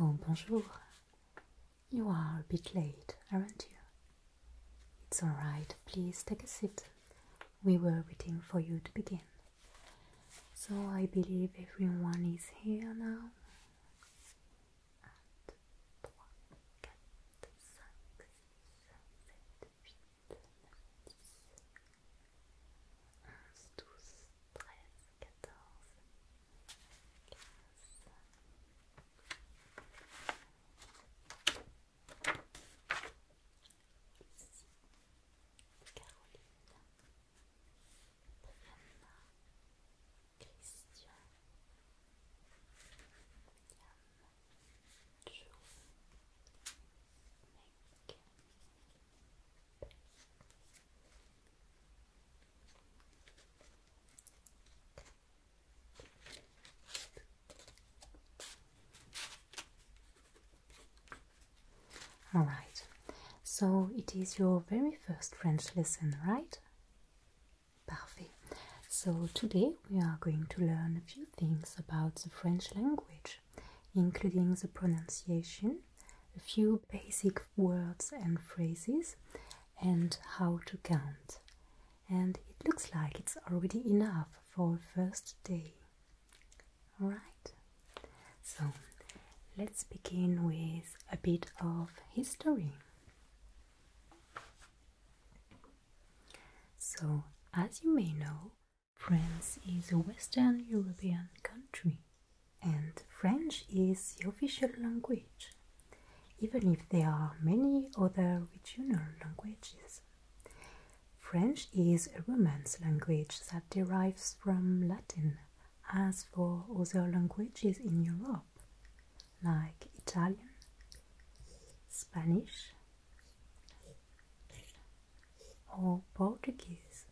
Oh, bonjour. You are a bit late, aren't you? It's all right, please take a seat. We were waiting for you to begin. So I believe everyone is here now. Caroline, Christian, William, Joe, Nick, All right, so it is your very first French lesson, right? Parfait. So today we are going to learn a few things about the French language, including the pronunciation, a few basic words and phrases and how to count. And it looks like it's already enough for first day. Right? so let's begin with a bit of history. So, as you may know, France is a Western European country and French is the official language, even if there are many other regional languages. French is a Romance language that derives from Latin, as for other languages in Europe, like Italian, Spanish, or Portuguese.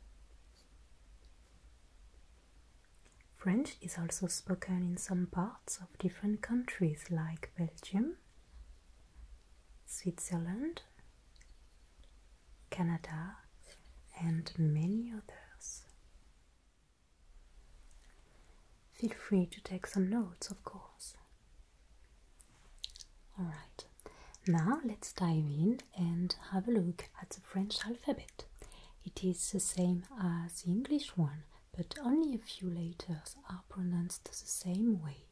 French is also spoken in some parts of different countries like Belgium, Switzerland, Canada, and many others. Feel free to take some notes, of course. Alright, now let's dive in and have a look at the French alphabet. It is the same as the English one, but only a few letters are pronounced the same way.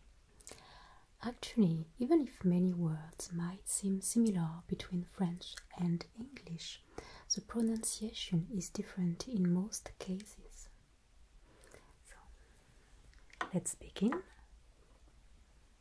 Actually, even if many words might seem similar between French and English, the pronunciation is different in most cases. So, let's begin.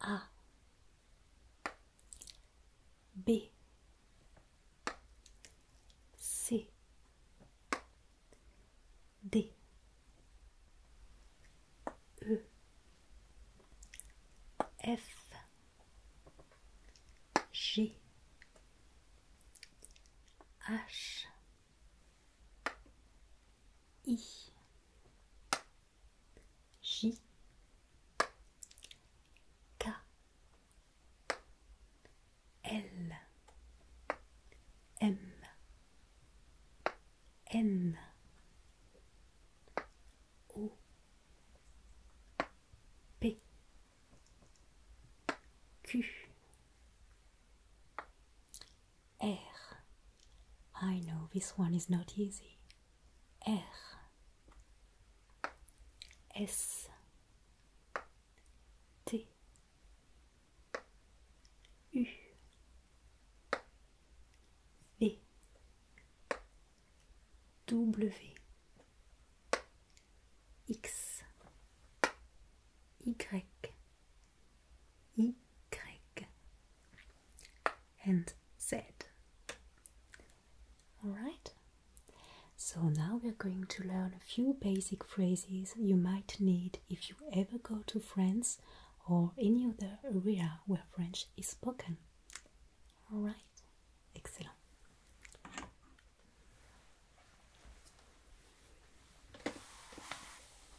A B C D E F G H I J K L M N O P Q R. I know this one is not easy. R. S. T. U. V. W. X. Y. Y and Z. Alright? So now we're going to learn a few basic phrases you might need if you ever go to France or any other area where French is spoken. Alright? Excellent. alors maintenant il me faudrait que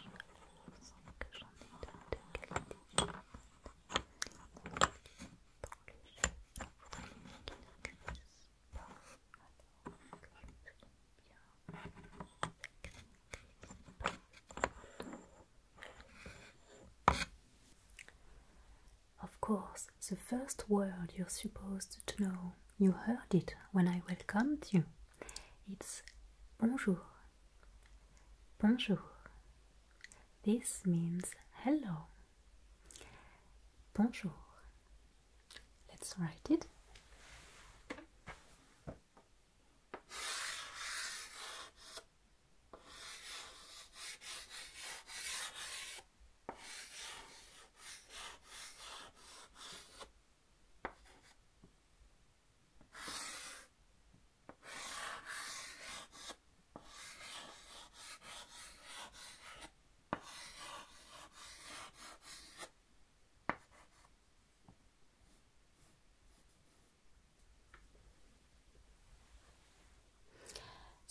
je plonge, je sens que j'en ai deux de qualité. Of course, the first word you're supposed to know, you heard it when I welcomed you. It's bonjour. Bonjour. This means hello. Bonjour. Let's write it.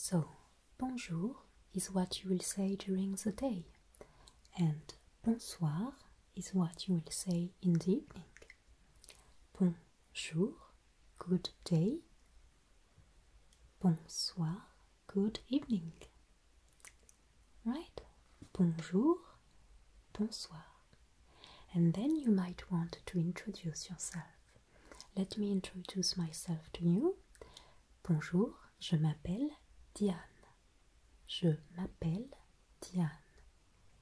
So, bonjour is what you will say during the day, and bonsoir is what you will say in the evening. Bonjour, good day. Bonsoir, good evening. Right? Bonjour, bonsoir. And then you might want to introduce yourself. Let me introduce myself to you. Bonjour, je m'appelle Diane. Je m'appelle Diane.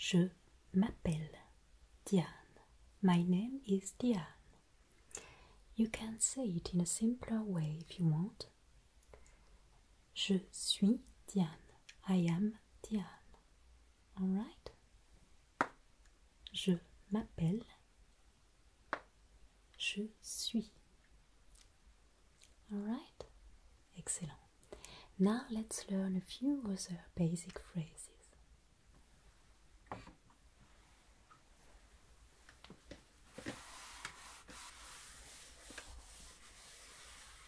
Je m'appelle Diane. My name is Diane. You can say it in a simpler way if you want. Je suis Diane. I am Diane. right. Je m'appelle. Je suis. All right. Excellent. Now let's learn a few other basic phrases.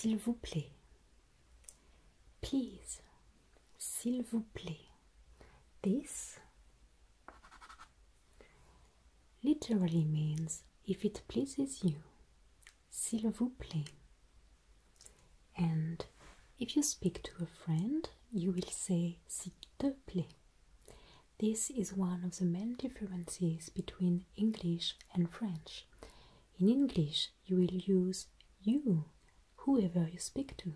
S'il vous plaît, please, s'il vous plaît, this literally means if it pleases you s'il vous plaît. And if you speak to a friend, you will say s'il te plaît. This is one of the main differences between English and French. In English, you will use you, whoever you speak to.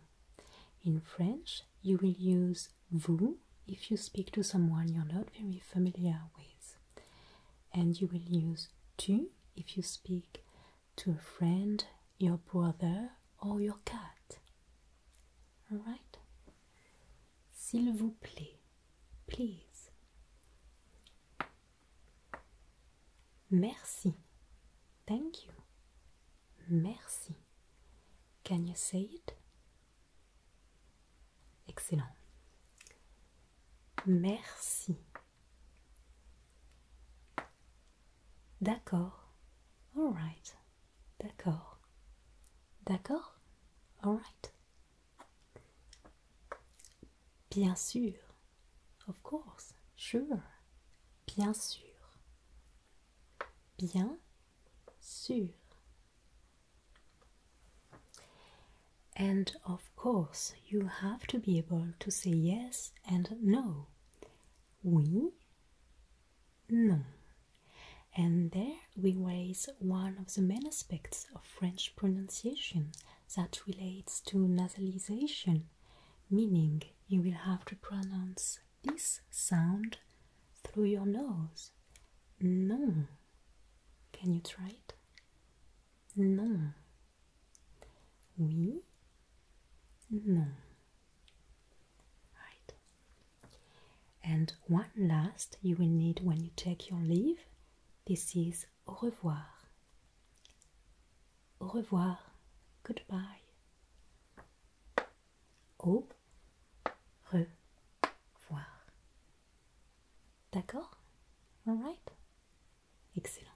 In French, you will use vous if you speak to someone you're not very familiar with and you will use tu if you speak to a friend, your brother, or your cat. Alright? S'il vous plaît, please. Merci. Thank you. Merci. Can you say it? Excellent. Merci. D'accord. All right. D'accord. D'accord right. Bien sûr. Of course. Sure. Bien sûr. Bien sûr. And of course, you have to be able to say yes and no. Oui, non. And there we raise one of the main aspects of French pronunciation that relates to nasalization, meaning you will have to pronounce this sound through your nose. Non. Can you try it? Non. Oui. Non. Right. And one last you will need when you take your leave. This is au revoir. Au revoir. Goodbye. Au revoir. D'accord? Alright? Excellent.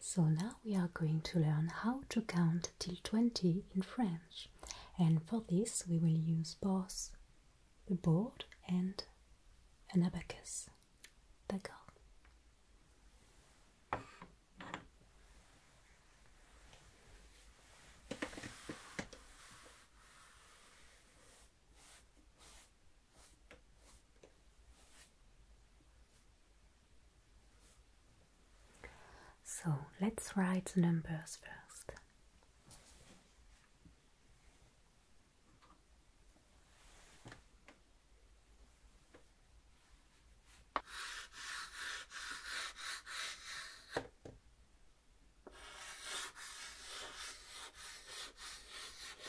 So now we are going to learn how to count till 20 in French. And for this, we will use both the board and an abacus. D'accord? So let's write the numbers first.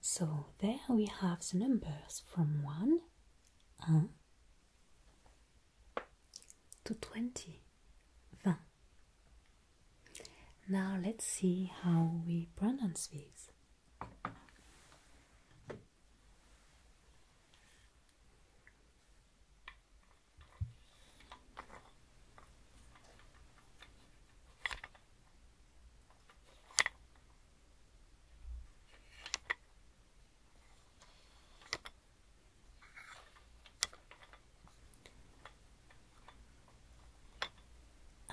So there we have the numbers from 1, uh, to 20. 20. Now let's see how we pronounce these.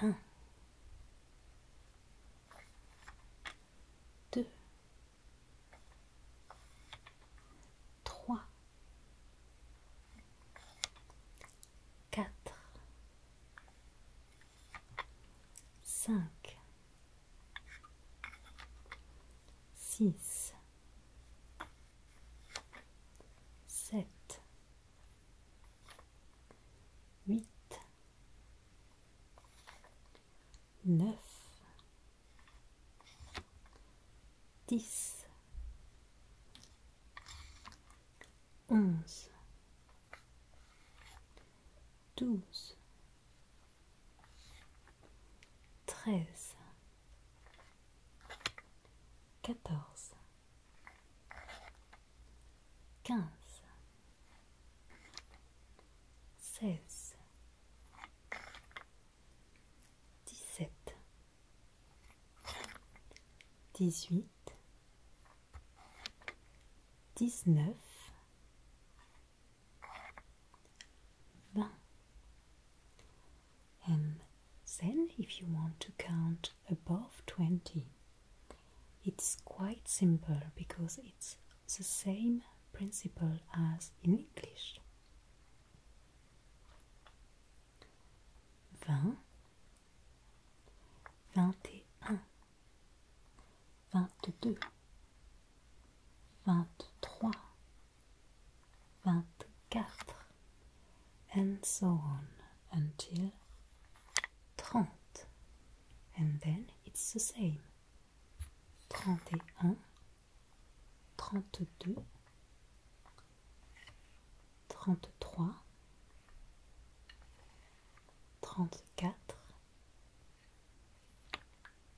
Un. Deux. Trois. Quatre. Cinq. Six sept, huit, neuf, dix, onze, douze, treize quatorze, quinze, seize, dix-sept, dix-huit, dix-neuf, vingt. And then, if you want to count above 20, it's quite simple because it's the same principle as in English. Vingt, vingt et un, vingt-deux, vingt-trois. vingt-quatre, and so on until trente, and then it's the same. Trente et un, trente-deux, trente-trois, trente-quatre,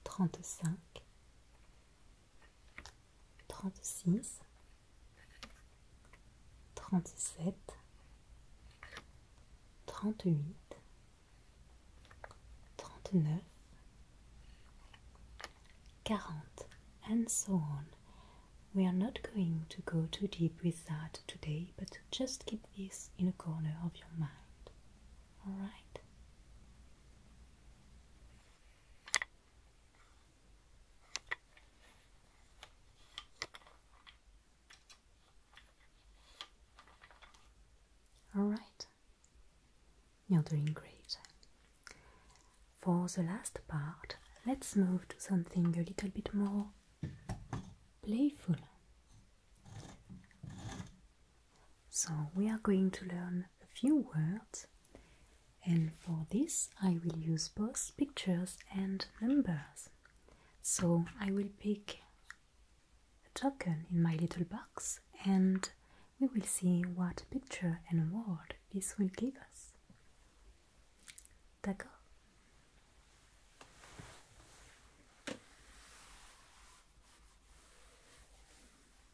trente-cinq, 36 37 38 39 40 and so on. We are not going to go too deep with that today, but just keep this in a corner of your mind. Alright? All right, you're doing great. For the last part, let's move to something a little bit more playful. So we are going to learn a few words and for this I will use both pictures and numbers. So I will pick a token in my little box and we will see what picture and word this will give us. D'accord?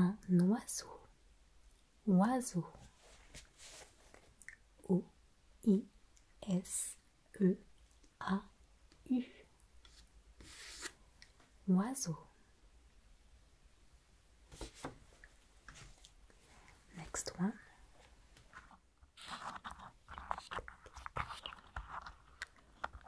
Un oiseau. Oiseau. O-I-S-E-A-U. Oiseau. Next one.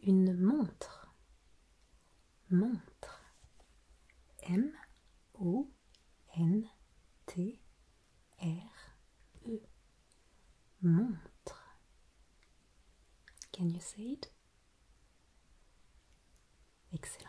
Une montre. Montre. M-O-N-T-R-E. Montre. Can you say it? Excellent.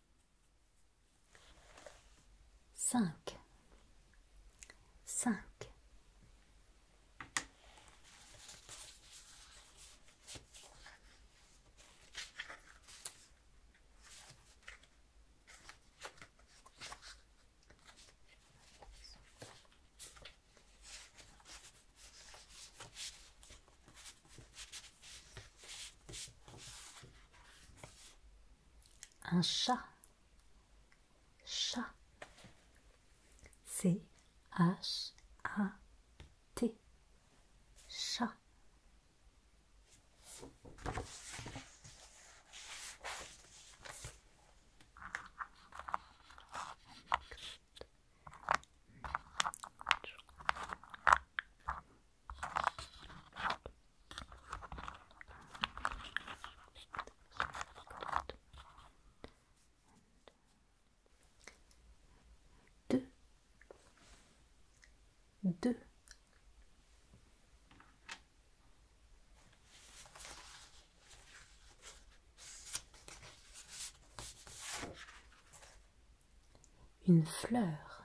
Cinq. Cinq. Un chat. Chat. C-H-A-T. Chat. Deux. Deux. Une fleur,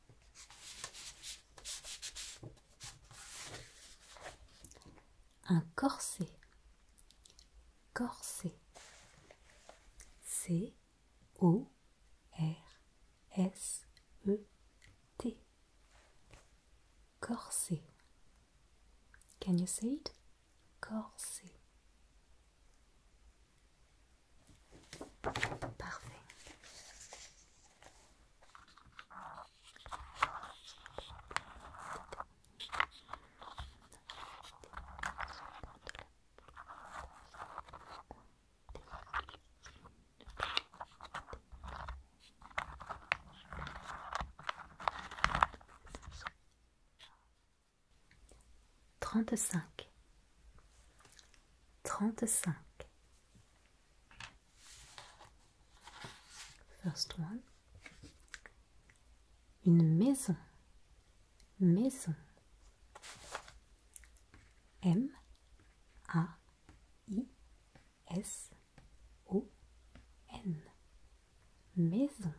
Un corset. Corset. C O R S E T. Corset. Can you say it? Corset. Parfait. Trente-cinq Trente-cinq. First one. Une maison. Maison. M A I S O N. Maison.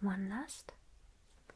One last.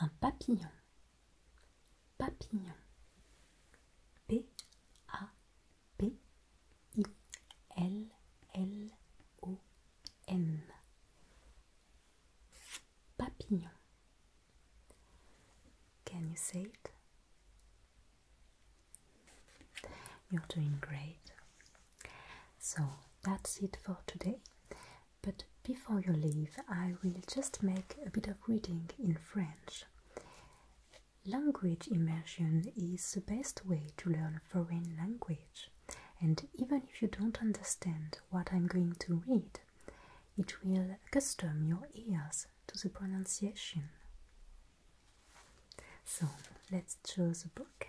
Un papillon. Papillon. p a p I-L-L-O-N. Papillon. Can you say it? You're doing great. So that's it for today. But before you leave, I will just make a bit of reading in French. Language immersion is the best way to learn foreign language, and even if you don't understand what I'm going to read, it will custom your ears to the pronunciation. So let's choose a book.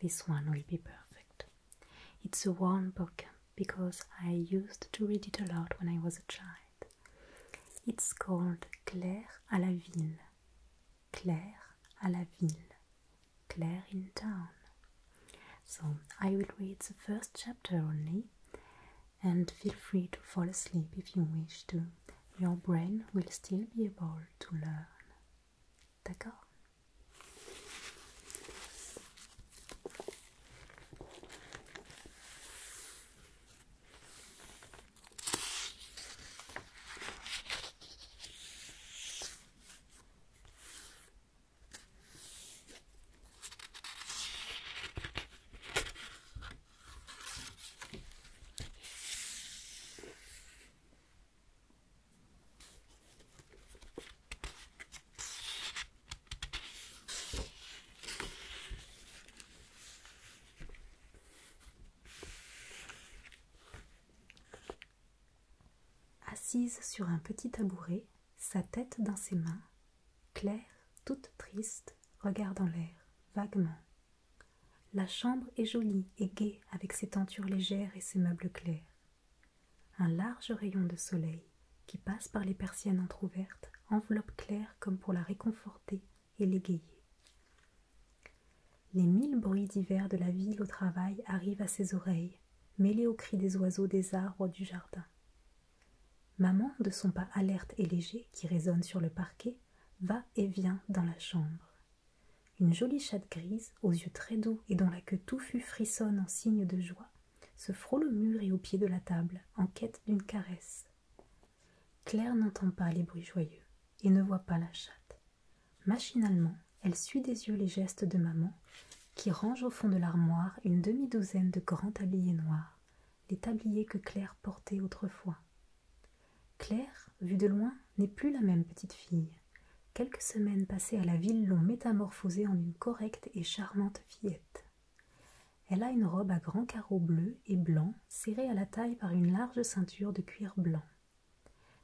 This one will be perfect. It's a warm book because I used to read it a lot when I was a child. It's called Claire à la ville. Claire à la ville. Claire in town. So, I will read the first chapter only, and feel free to fall asleep if you wish to. Your brain will still be able to learn. D'accord? Assise sur un petit tabouret, sa tête dans ses mains, Claire, toute triste, regarde en l'air, vaguement. La chambre est jolie et gaie avec ses tentures légères et ses meubles clairs. Un large rayon de soleil qui passe par les persiennes entr'ouvertes enveloppe Claire comme pour la réconforter et l'égayer. Les mille bruits divers de la ville au travail arrivent à ses oreilles, mêlés aux cris des oiseaux des arbres du jardin. Maman, de son pas alerte et léger qui résonne sur le parquet, va et vient dans la chambre. Une jolie chatte grise, aux yeux très doux et dont la queue touffue frissonne en signe de joie, se frôle au mur et au pied de la table, en quête d'une caresse. Claire n'entend pas les bruits joyeux et ne voit pas la chatte. Machinalement, elle suit des yeux les gestes de maman qui range au fond de l'armoire une demi-douzaine de grands tabliers noirs, les tabliers que Claire portait autrefois. Claire, vue de loin, n'est plus la même petite fille. Quelques semaines passées à la ville l'ont métamorphosée en une correcte et charmante fillette. Elle a une robe à grands carreaux bleus et blancs, serrée à la taille par une large ceinture de cuir blanc.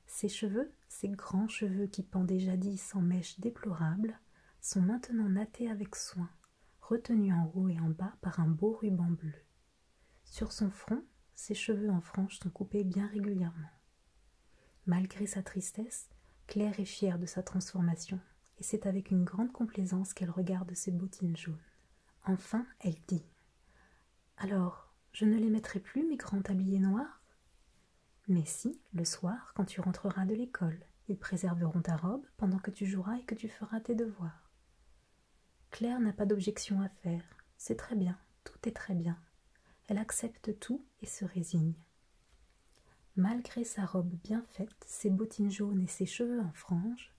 Ses cheveux, ses grands cheveux qui pendaient jadis en mèches déplorables, sont maintenant nattés avec soin, retenues en haut et en bas par un beau ruban bleu. Sur son front, ses cheveux en frange sont coupés bien régulièrement. Malgré sa tristesse, Claire est fière de sa transformation, et c'est avec une grande complaisance qu'elle regarde ses bottines jaunes. Enfin, elle dit Alors, je ne les mettrai plus, mes grands tabliers noirs mais si, le soir, quand tu rentreras de l'école, ils préserveront ta robe pendant que tu joueras et que tu feras tes devoirs. Claire n'a pas d'objection à faire. C'est très bien, tout est très bien. Elle accepte tout et se résigne. Malgré sa robe bien faite, ses bottines jaunes et ses cheveux en frange,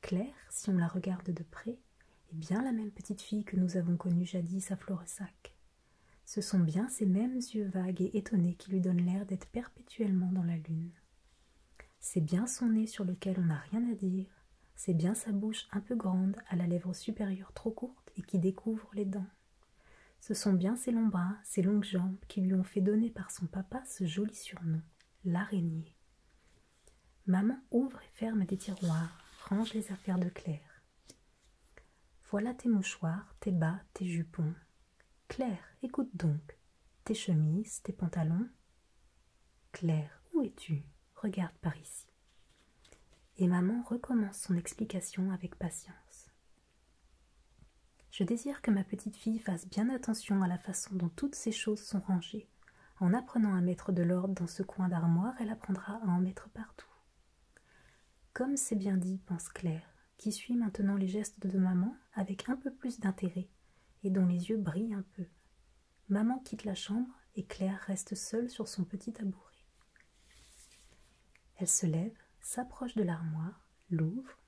Claire, si on la regarde de près, est bien la même petite fille que nous avons connue jadis à Floresac. Ce sont bien ces mêmes yeux vagues et étonnés qui lui donnent l'air d'être perpétuellement dans la lune. C'est bien son nez sur lequel on n'a rien à dire, c'est bien sa bouche un peu grande à la lèvre supérieure trop courte et qui découvre les dents. Ce sont bien ses longs bras, ses longues jambes qui lui ont fait donner par son papa ce joli surnom, l'araignée. Maman ouvre et ferme des tiroirs, range les affaires de Claire. Voilà tes mouchoirs, tes bas, tes jupons. Claire, écoute donc. Tes chemises, tes pantalons. Claire, où es-tu Regarde par ici. Et maman recommence son explication avec patience. Je désire que ma petite fille fasse bien attention à la façon dont toutes ces choses sont rangées. En apprenant à mettre de l'ordre dans ce coin d'armoire, elle apprendra à en mettre partout. Comme c'est bien dit, pense Claire qui suit maintenant les gestes de maman avec un peu plus d'intérêt et dont les yeux brillent un peu. Maman quitte la chambre et Claire reste seule sur son petit tabouret. Elle se lève, s'approche de l'armoire, l'ouvre,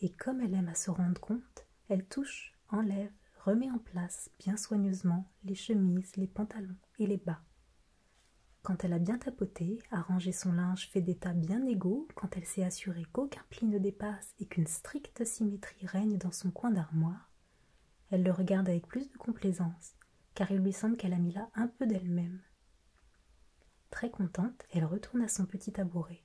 et comme elle aime à se rendre compte, elle touche, enlève, remet en place bien soigneusement les chemises, les pantalons et les bas. Quand elle a bien tapoté, arrangé son linge fait tas bien égaux quand elle s'est assurée qu'aucun pli ne dépasse et qu'une stricte symétrie règne dans son coin d'armoire, elle le regarde avec plus de complaisance, car il lui semble qu'elle a mis là un peu d'elle-même. Très contente, elle retourne à son petit tabouret.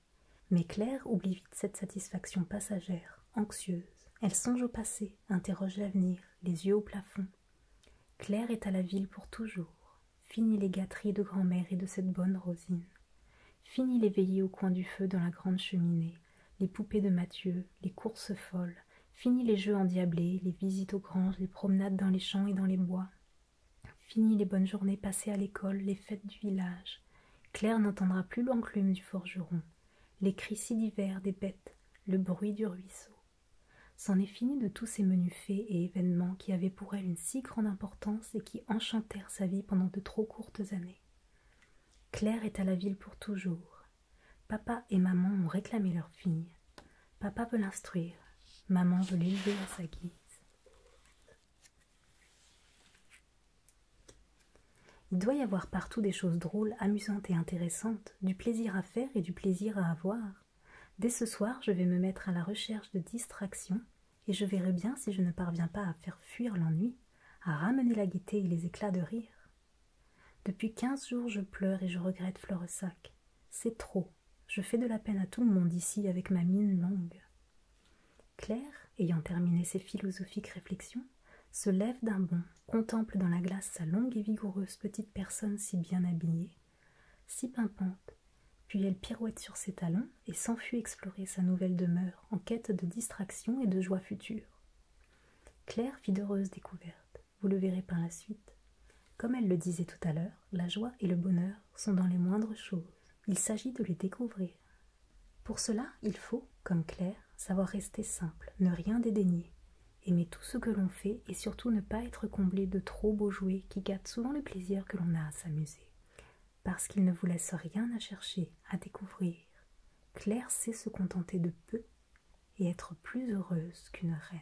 Mais Claire oublie vite cette satisfaction passagère, anxieuse. Elle songe au passé, interroge l'avenir, les yeux au plafond. Claire est à la ville pour toujours. Fini les gâteries de grand-mère et de cette bonne Rosine. Fini les veillées au coin du feu dans la grande cheminée, les poupées de Mathieu, les courses folles. Fini les jeux endiablés, les visites aux granges, les promenades dans les champs et dans les bois. Fini les bonnes journées passées à l'école, les fêtes du village. Claire n'entendra plus l'enclume du forgeron, les cris si divers des bêtes, le bruit du ruisseau. C'en est fini de tous ces menus fées et événements qui avaient pour elle une si grande importance et qui enchantèrent sa vie pendant de trop courtes années. Claire est à la ville pour toujours. Papa et maman ont réclamé leur fille. Papa veut l'instruire, maman veut l'élever à sa guise. Il doit y avoir partout des choses drôles, amusantes et intéressantes, du plaisir à faire et du plaisir à avoir. Dès ce soir, je vais me mettre à la recherche de distractions et je verrai bien si je ne parviens pas à faire fuir l'ennui, à ramener la gaieté et les éclats de rire. Depuis quinze jours, je pleure et je regrette Floresac. C'est trop. Je fais de la peine à tout le monde ici avec ma mine longue. Claire, ayant terminé ses philosophiques réflexions, se lève d'un bond, contemple dans la glace sa longue et vigoureuse petite personne si bien habillée, si pimpante, puis elle pirouette sur ses talons et s'enfuit explorer sa nouvelle demeure en quête de distraction et de joie future. Claire fit d'heureuses découvertes, vous le verrez par la suite. Comme elle le disait tout à l'heure, la joie et le bonheur sont dans les moindres choses. Il s'agit de les découvrir. Pour cela, il faut, comme Claire, savoir rester simple, ne rien dédaigner, aimer tout ce que l'on fait et surtout ne pas être comblé de trop beaux jouets qui gâtent souvent le plaisir que l'on a à s'amuser. Parce qu'il ne vous laisse rien à chercher, à découvrir, Claire sait se contenter de peu et être plus heureuse qu'une reine.